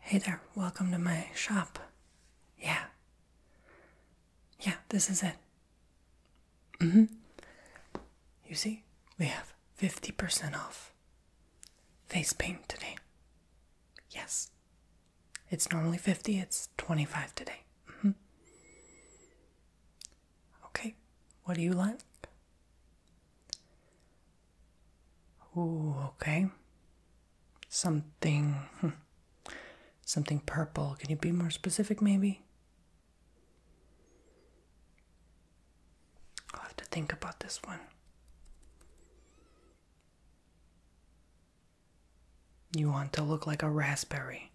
Hey there, welcome to my shop. Yeah. Yeah, this is it. hmm. You see, we have 50% off face paint today. Yes. It's normally 50, it's 25 today. -hmm. Okay, what do you like? Oh, okay. Something. Hmm. Something purple. Can you be more specific, maybe? I'll have to think about this one. You want to look like a raspberry.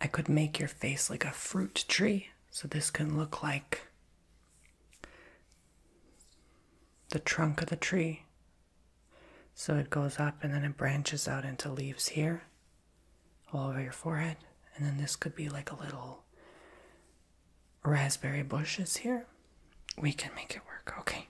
I could make your face like a fruit tree, so this can look like the trunk of the tree. So it goes up and then it branches out into leaves here, all over your forehead. And then this could be like a little raspberry bushes here. We can make it work. Okay.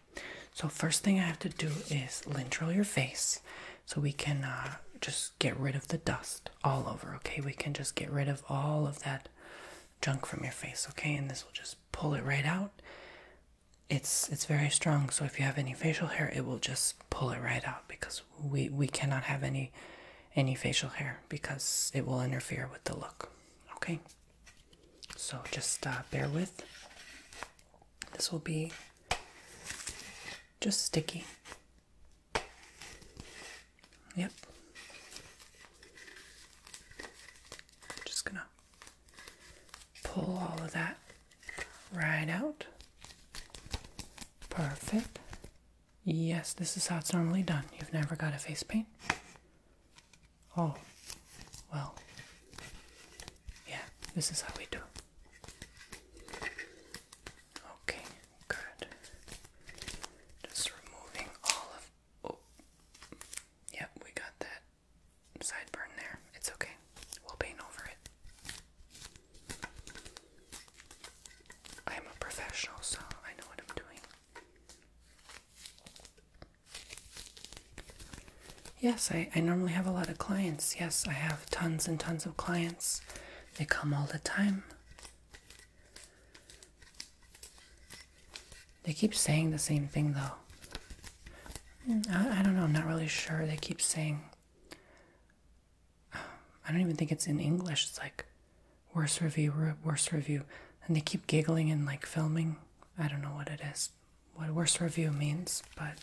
So first thing I have to do is lintel your face, so we can uh, just get rid of the dust all over. Okay, we can just get rid of all of that junk from your face. Okay, and this will just pull it right out. It's it's very strong, so if you have any facial hair, it will just pull it right out because we we cannot have any any facial hair because it will interfere with the look. Okay, so just uh, bear with. This will be just sticky. Yep. Just gonna pull all of that right out. Perfect. Yes, this is how it's normally done. You've never got a face paint? Oh, well, yeah, this is how we do it. Okay, good. Just removing all of. Oh, yep, we got that sideburn there. It's okay. We'll paint over it. I'm a professional, so I know what I'm doing. Yes, I, I normally have a lot of clients. Yes, I have tons and tons of clients. They come all the time. They keep saying the same thing though. Mm, I, I don't know, I'm not really sure. They keep saying, I don't even think it's in English. It's like, worst review, worst review. And they keep giggling and like filming. I don't know what it is, what worst review means, but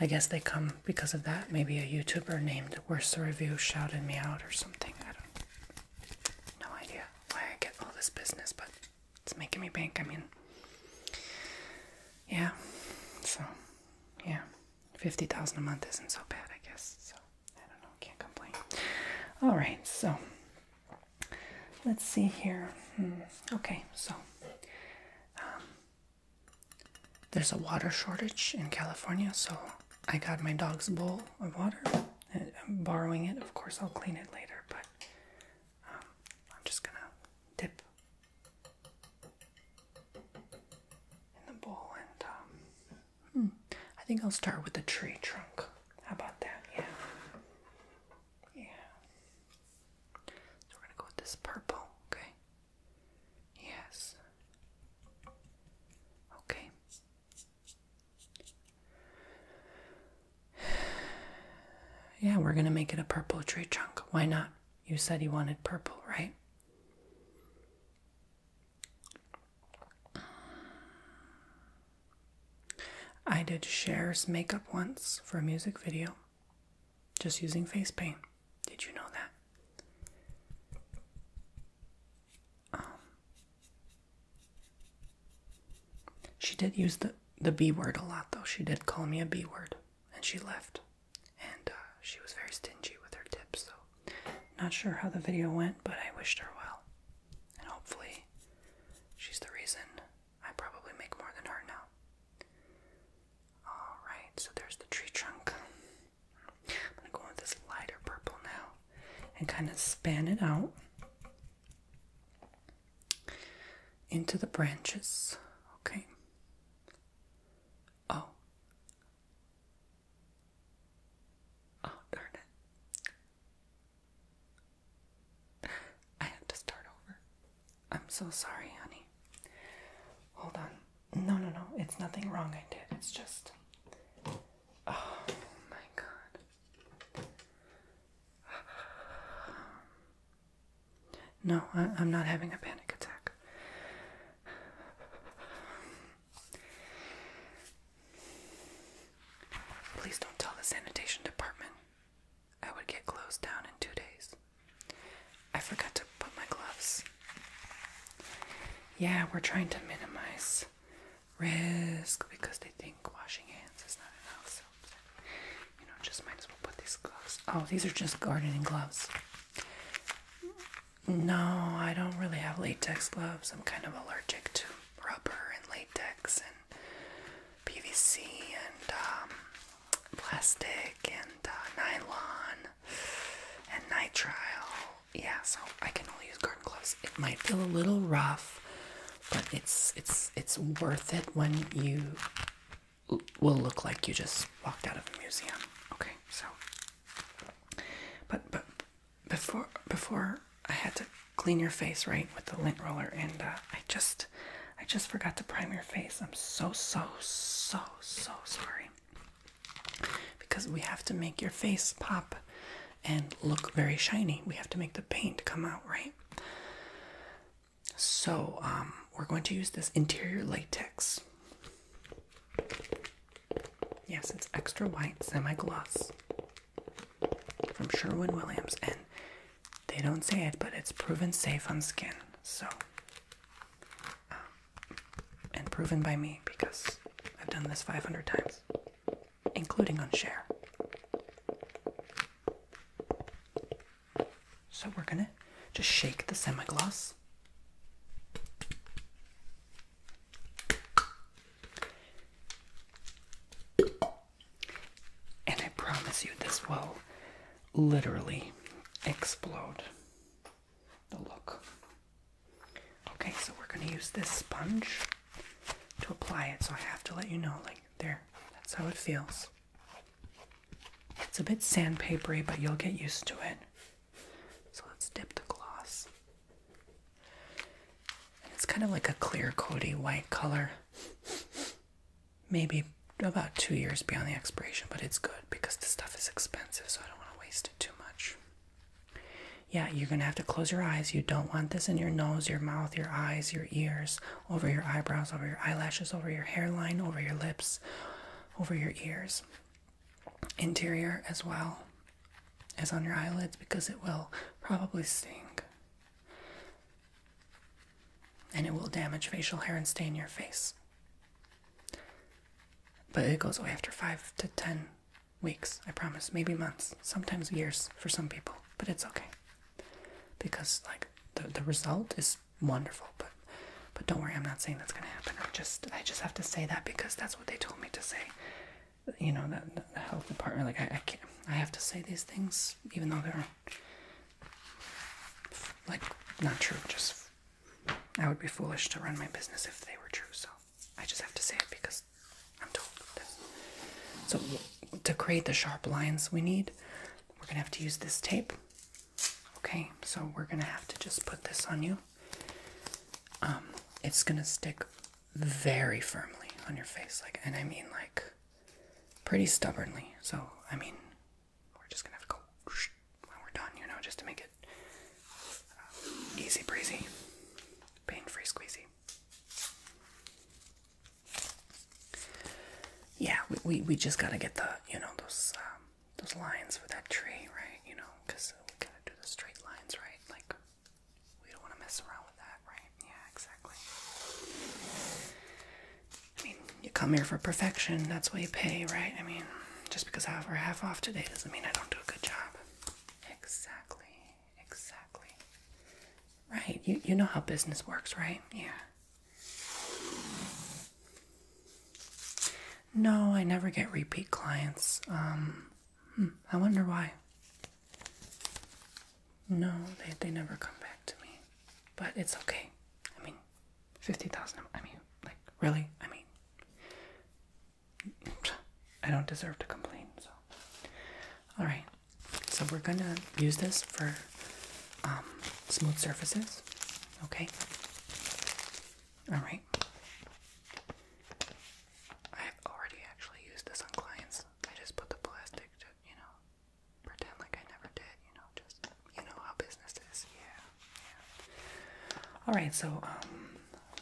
I guess they come because of that. Maybe a YouTuber named Worst Review shouted me out or something. I don't no idea why I get all this business, but it's making me bank. I mean, yeah. So, yeah, fifty thousand a month isn't so bad, I guess. So I don't know. Can't complain. All right. So let's see here. Hmm. Okay. So. Um, there's a water shortage in California, so I got my dog's bowl of water. I'm borrowing it. Of course, I'll clean it later, but um, I'm just gonna dip in the bowl and um, hmm, I think I'll start with the tree trunk. How about that? Yeah. Yeah. So we're gonna go with this purple, okay? Yes. Okay. Yeah, we're going to make it a purple tree trunk. Why not? You said you wanted purple, right? I did shares makeup once for a music video just using face paint. Did you know that? Um, she did use the, the B word a lot, though. She did call me a B word, and she left. And uh, she was very stingy with her tips, so not sure how the video went, but I wished her well. And hopefully, she's the reason I probably make more than her now. Alright, so there's the tree trunk. I'm going to go with this lighter purple now and kind of span it out into the branches. Okay. Oh. Oh, darn it. I had to start over. I'm so sorry, honey. Hold on. No, no, no. It's nothing wrong I did. It's just. Oh my god. No, I, am not having a panic attack. Please don't tell the sanitation department. I would get closed down in two days. I forgot to put my gloves. Yeah, we're trying to minimize risk because they think washing hands is not enough. So, you know, just might as well put these gloves. Oh, these are just gardening gloves. No, I don't really have latex gloves. I'm kind of allergic to rubber and latex and PVC and um, plastic and uh, nylon and nitrile. Yeah, so I can only use garden gloves. It might feel a little rough, but it's it's it's worth it when you will look like you just walked out of a museum. Okay, so but but before before I had to clean your face right with the lint roller, and uh, I just I just forgot to prime your face. I'm so so so so sorry because we have to make your face pop and look very shiny. We have to make the paint come out, right? So, um, we're going to use this interior latex. Yes, it's extra white semi gloss from Sherwin Williams, and they don't say it, but it's proven safe on skin. So, um, and proven by me because I've done this 500 times, including on share. So we're gonna just shake the semi semigloss. And I promise you, this will literally explode the look. Okay, so we're going to use this sponge to apply it. So I have to let you know, like, there, that's how it feels. It's a bit sandpapery, but you'll get used to it. So let's dip the gloss. it's kind of like a clear Cody white color. Maybe about two years beyond the expiration, but it's good because the stuff is expensive, so I don't want to waste it too much. Yeah, you're going to have to close your eyes. You don't want this in your nose, your mouth, your eyes, your ears, over your eyebrows, over your eyelashes, over your hairline, over your lips, over your ears. Interior as well as on your eyelids because it will probably sting. And it will damage facial hair and stain your face. But it goes away after five to ten weeks, I promise. Maybe months, sometimes years for some people. But it's okay. Because like the the result is wonderful, but but don't worry, I'm not saying that's gonna happen. I just I just have to say that because that's what they told me to say. You know, the, the health department, like I, I can't I have to say these things even though they're like not true, just I would be foolish to run my business if they were true, so I just have to say it because I'm told this. So, to create the sharp lines we need, we're gonna have to use this tape. Okay, so we're gonna have to just put this on you. Um, it's gonna stick very firmly on your face, like, and I mean, like, pretty stubbornly. So, I mean, we're just gonna have to go when we're done, you know, just to make it uh, easy breezy, pain free squeezy. Yeah, we, we, we just gotta get the, you know, those, um, those lines for that tree, right? You know, because we gotta do the straight lines, right? Like, we don't wanna mess around with that, right? Yeah, exactly. I mean, you come here for perfection, that's what you pay, right? I mean, just because I have her half off today doesn't mean I don't do a good job. Exactly, exactly. Right, you, you know how business works, right? Yeah. No, I never get repeat clients. Um, hmm, I wonder why. No, they, they never come back to me. But it's okay. I mean, fifty thousand. I mean, like really? I mean, I don't deserve to complain. So, all right. So we're gonna use this for um, smooth surfaces. Okay. All right. I've already actually used this on clients. I just put the plastic, you know, pretend like I never did. You know, just you know how business is. Yeah. All right, so um,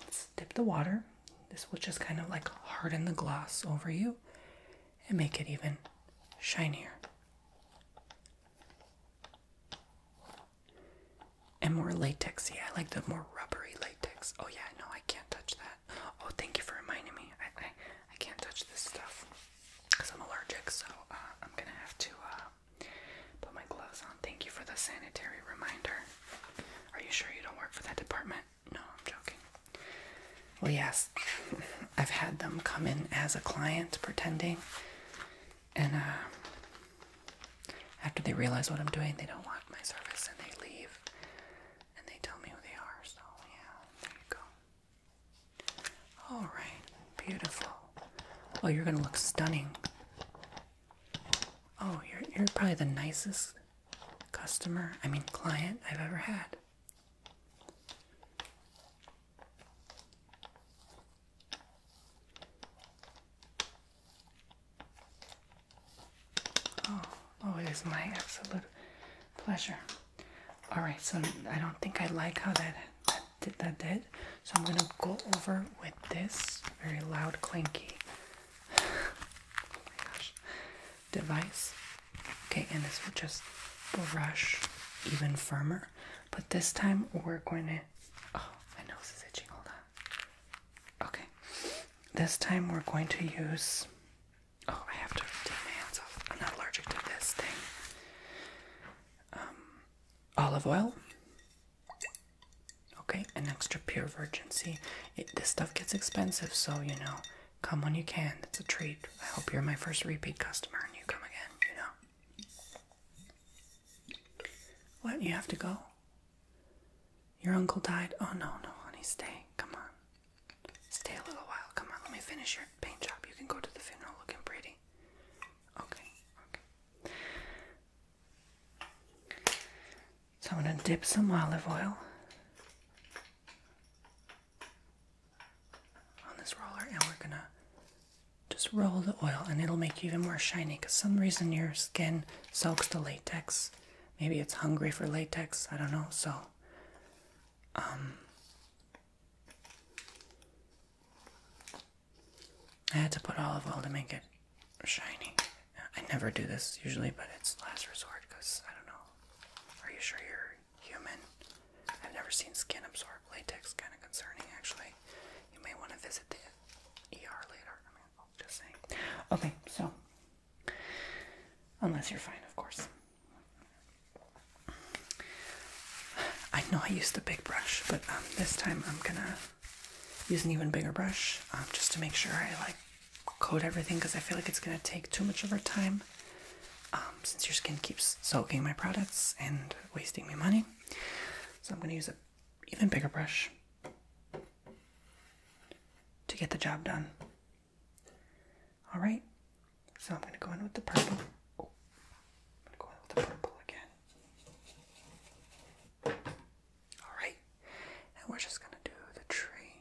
let's dip the water. This will just kind of like harden the gloss over you and make it even shinier and more latexy. I like the more rubbery latex. Oh yeah, no, I can't touch that. Oh, thank you for reminding me. I I, can't touch this stuff because I'm allergic, so uh, I'm gonna have to uh, Put my gloves on. Thank you for the sanitary reminder. Are you sure you don't work for that department? No, I'm joking. Well, yes, I've had them come in as a client pretending, and uh, after they realize what I'm doing, they don't want my service and they leave and they tell me who they are. So, yeah, there you go. Alright, beautiful. Well, you're gonna look stunning Oh, you're you're probably the nicest customer, I mean client I've ever had. Oh, oh, it is my absolute pleasure. All right, so I don't think I like how that that, that did. So I'm gonna go over with this very loud clanky oh device. Okay, and this will just brush even firmer. But this time we're going to oh my nose is itching, hold on. Okay. This time we're going to use oh I have to take my hands off. I'm not allergic to this thing. Um, olive oil Okay, an extra pure virgin. See, this stuff gets expensive, so you know, come when you can. That's a treat. I hope you're my first repeat customer and you come again, you know. What? You have to go? Your uncle died? Oh, no, no, honey, stay. Come on. Stay a little while. Come on, let me finish your paint job. You can go to the funeral looking pretty. Okay, okay. So I'm going to dip some olive oil on this roller and we're going to just roll the oil and it'll make you even more shiny because some reason your skin soaks the latex. Maybe it's hungry for latex, I don't know. So um, I had to put olive oil to make it shiny. I never do this usually, but it's last resort because I don't know. Are you sure you're human? I've never seen skin absorb latex. Kind of concerning, actually. You may want to visit the ER later. I mean, just saying. Okay, so unless you're fine, of course. I know I used the big brush, but um, this time I'm gonna use an even bigger brush um, just to make sure I like coat everything because I feel like it's gonna take too much of our time um, since your skin keeps soaking my products and wasting me money. So I'm gonna use an even bigger brush to get the job done. All right, so I'm gonna go in with the purple. Oh, go in with the purple again. Alright, and we're just gonna do the tree.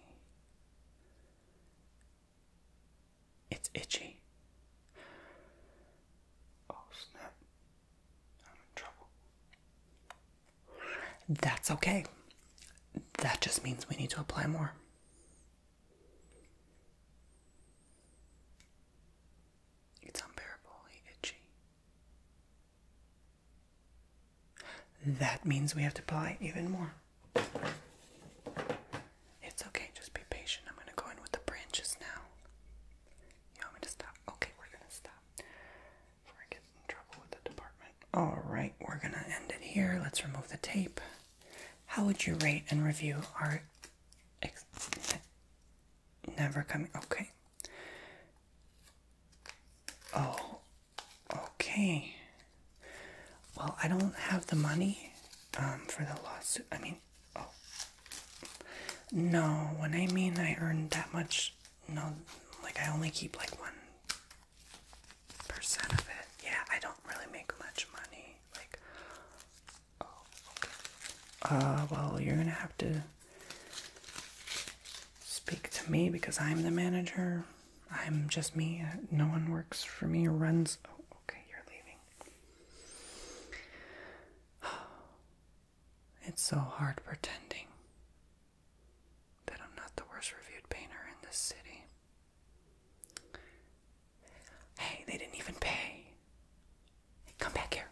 It's itchy. Oh snap. I'm in trouble. That's okay. That just means we need to apply more. It's unbearably itchy. That means we have to apply even more. It's okay, just be patient. I'm gonna go in with the branches now. You want me to stop? Okay, we're gonna stop. Before I get in trouble with the department. Alright, we're gonna end it here. Let's remove the tape. How would you rate and review our Never coming. Okay. Oh, okay. Well, I don't have the money um, for the lawsuit. I mean, oh. No, when I mean I earn that much, no, like I only keep like 1% of it. Yeah, I don't really make much money. Like, oh, okay. Uh, well, you're gonna have to speak to me because I'm the manager. I'm just me. Uh, no one works for me or runs. Oh, okay, you're leaving. It's so hard pretending that I'm not the worst reviewed painter in this city. Hey, they didn't even pay. come back here.